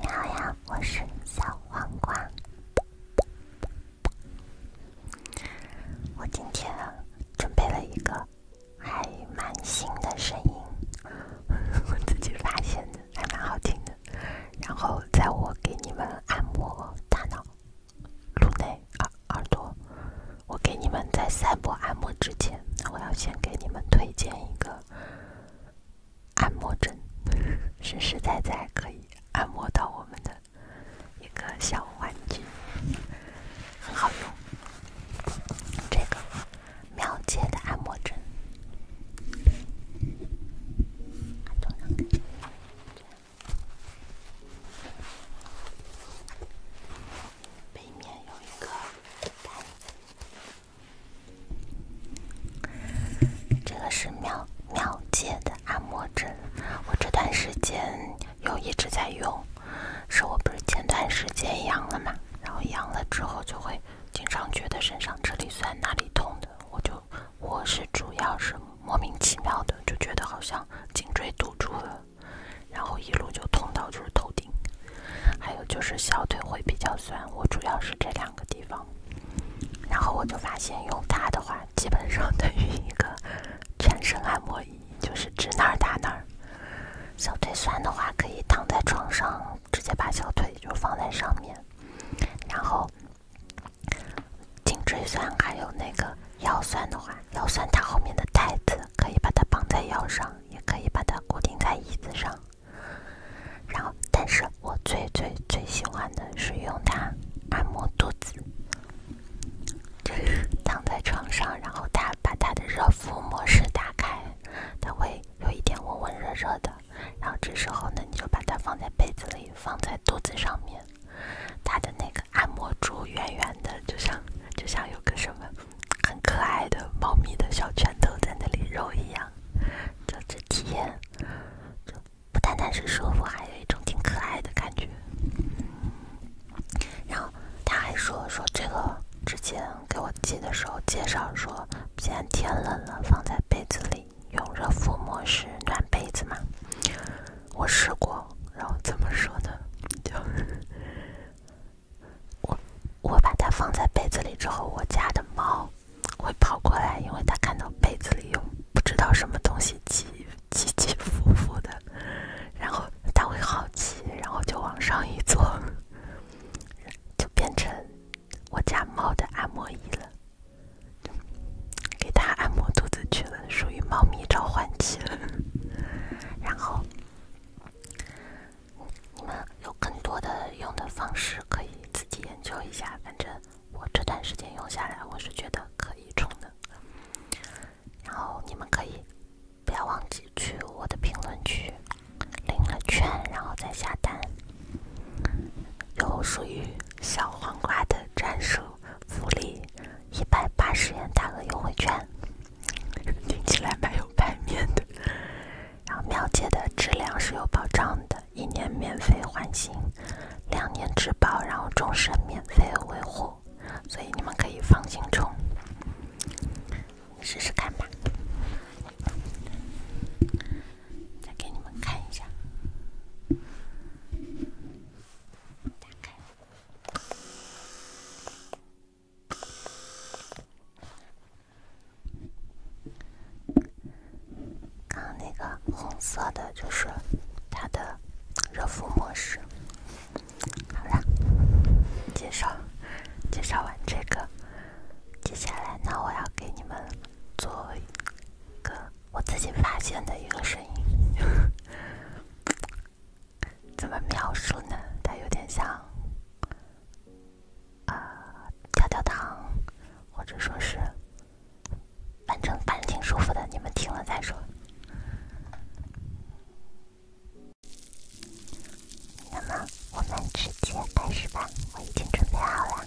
你好呀，我是小黄瓜。我今天准备了一个还蛮新的声音，我自己发现的，还蛮好听的。然后在我给你们按摩大脑、颅内耳耳朵，我给你们在赛博按摩之前，我要先给你们推荐一个按摩枕，实实在在可以按摩到我们的一个小玩具，很好用。这个妙姐的按摩枕。背面有一个。这个是妙妙界的按摩枕，我这段时间又一直在用。是我不是前段时间阳了嘛，然后阳了之后就会经常觉得身上这里酸、那里痛的，我就我是主要是莫名其妙的就觉得好像颈椎堵住了。然后一路就通到就是头顶，还有就是小腿会比较酸，我主要是这两个地方。然后我就发现用它的话，基本上等于一个全身按摩仪，就是指哪儿打哪儿。小腿酸的话，可以躺在床上，直接把小腿就放在上面。然后颈椎酸，还有那个腰酸的话，腰酸它后面的带子可以把它绑在腰上。也可以把它固定在椅子上，然后，但是我最最最喜欢的是用它按摩肚子，就是躺在床上，然后它把它的热敷模式打开，它会有一点温温热热的，然后这时候呢，你就把它放在被子里，放在肚子上面，它的那个按摩珠圆圆的，就像就像有个什么。很可爱的猫咪的小拳头在那里揉一样，就这体验，就不单单是舒服，还有一种挺可爱的感觉。然后他还说说这个之前给我寄的时候介绍说，既然天冷了，放在被子里用热敷模式暖被子嘛，我试过，然后怎么说呢？就。我我把它放在被子里之后，我家的猫会跑过来，因为它看到被子里有不知道什么东西起起起伏伏的，然后它会好奇，然后就往上一坐，就变成我家猫的按摩椅了，给它按摩肚子去了，属于猫咪召唤器了，然后。你们有更多的用的方式可以自己研究一下，反正我这段时间用下来，我是觉得可以充的。然后你们可以不要忘记去我的评论区领了券，然后再下单，有属于小黄瓜的专属福利。一百八十元大额优惠券，听起来蛮有排面的。然后妙姐的质量是有保障的，一年免费换新，两年质保，然后终身免费维护，所以你们可以放心冲，试试看吧。再给你们看一下，打开。刚那个红色的，就是它的热敷模式。好了，介绍，介绍完这个，接下来呢，我要给你们做一个我自己发现的一个声音。怎么描述呢？它有点像，啊，跳跳糖，或者说是，反正反正挺舒服的。你们听了再说。那么，我们直接开始吧，我已经准备好了。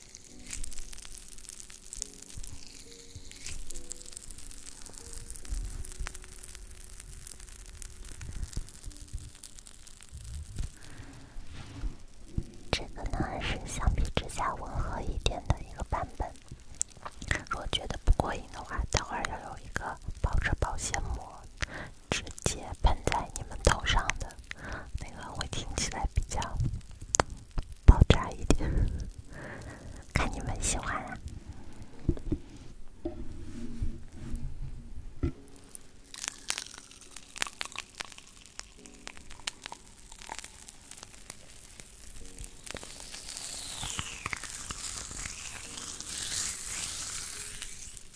这个呢是相比之下温和一点的一个版本，如果觉得不过瘾的话，待会要有一个包着保鲜膜直接。喷在你们头上的那个，会听起来比较爆炸一点，看你们喜欢了。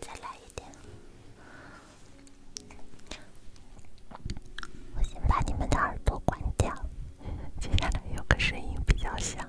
再来一点。我先把你们的耳朵关掉，接下来有个声音比较响。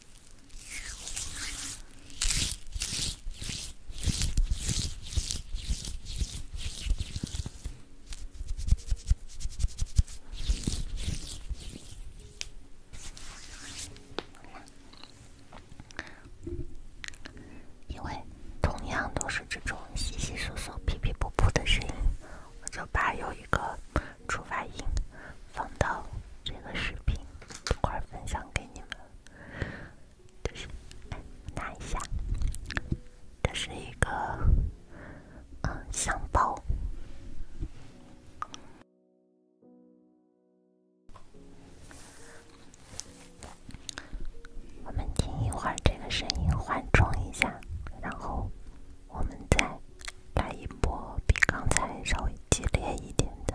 因为同样都是这种稀稀疏疏、噼噼噗噗的声音，我就把有一个触发音放到这个视频，一块分享给你们。这是，来拿一下。这是一个，嗯，香包。我们听一会儿这个声音，缓冲一下，然后我们再来一波比刚才稍微激烈一点的。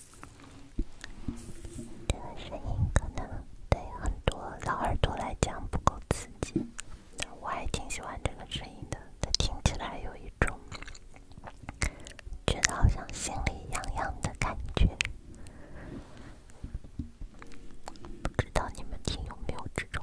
这个声音可能对很多老耳朵来讲不够刺激，我还挺喜欢这个声音的。它听起来有一种觉得好像心里痒痒的感觉，不知道你们听有没有这种。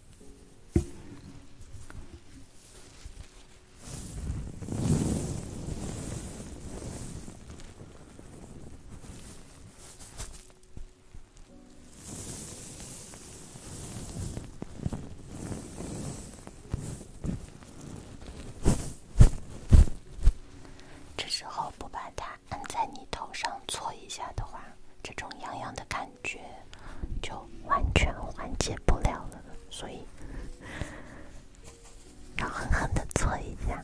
这时候不把它。按在你头上搓一下的话，这种痒痒的感觉就完全缓解不了了，所以要狠狠的搓一下。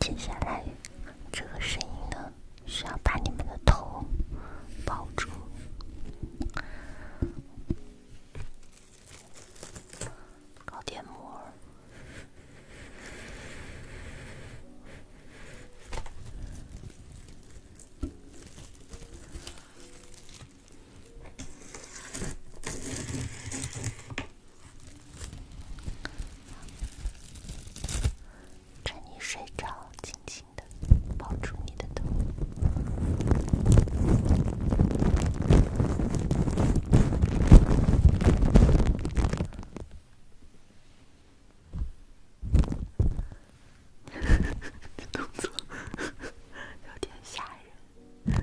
接下来，这个声音呢，需要把你们的头包住，搞点膜。趁你睡着，轻轻的抱住你的头。哈动作有点吓人。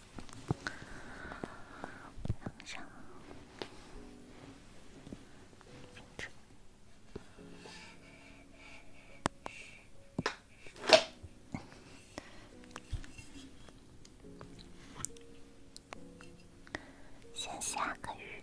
先下个雨。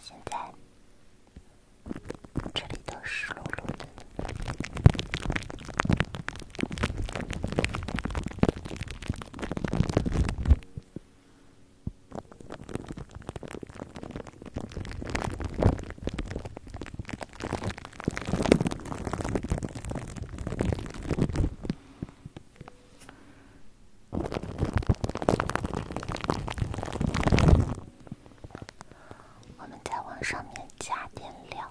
现在这里都湿漉漉的。我们再往上面加点料。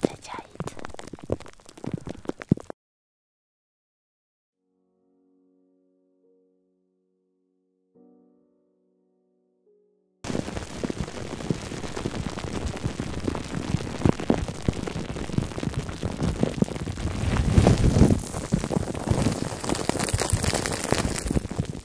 再加一层。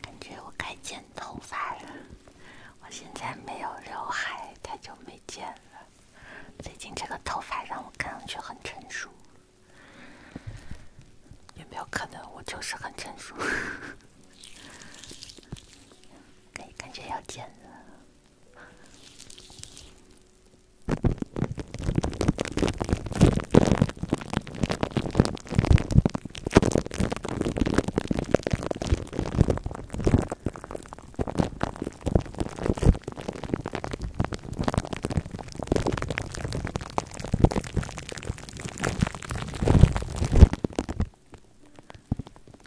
感觉我该剪头发了。我现在没有刘海，太久没剪了。最近这个头发让我看上去很成熟，有没有可能我就是很成熟？感感觉要剪了。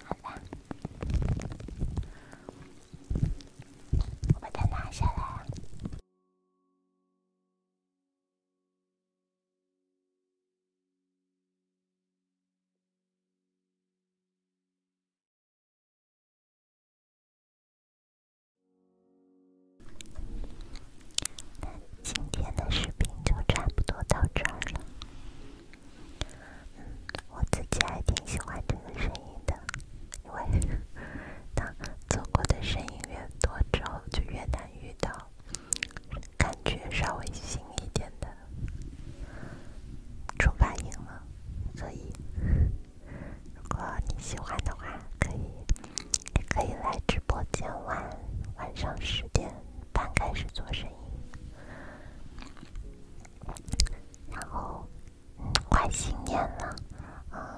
好吧，我把它拿下来。今天的视频就差不多到这了。嗯，我自己还挺喜欢这个声音的，因为当做过的声音越多之后，就越难遇到感觉稍微新一点的。出发赢了，所以。如果你喜欢的话，可以，也可以来直播间玩。晚上十点半开始做生意，然后，快新年了，嗯，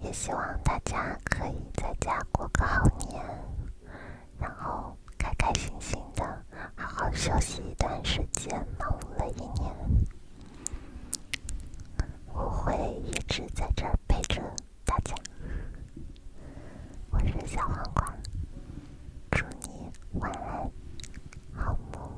也希望大家可以在家过个好年。然后开开心心的，好好休息一段时间，忙碌了一年，我会一直在这陪着大家。我是小黄瓜，祝你晚安，好梦。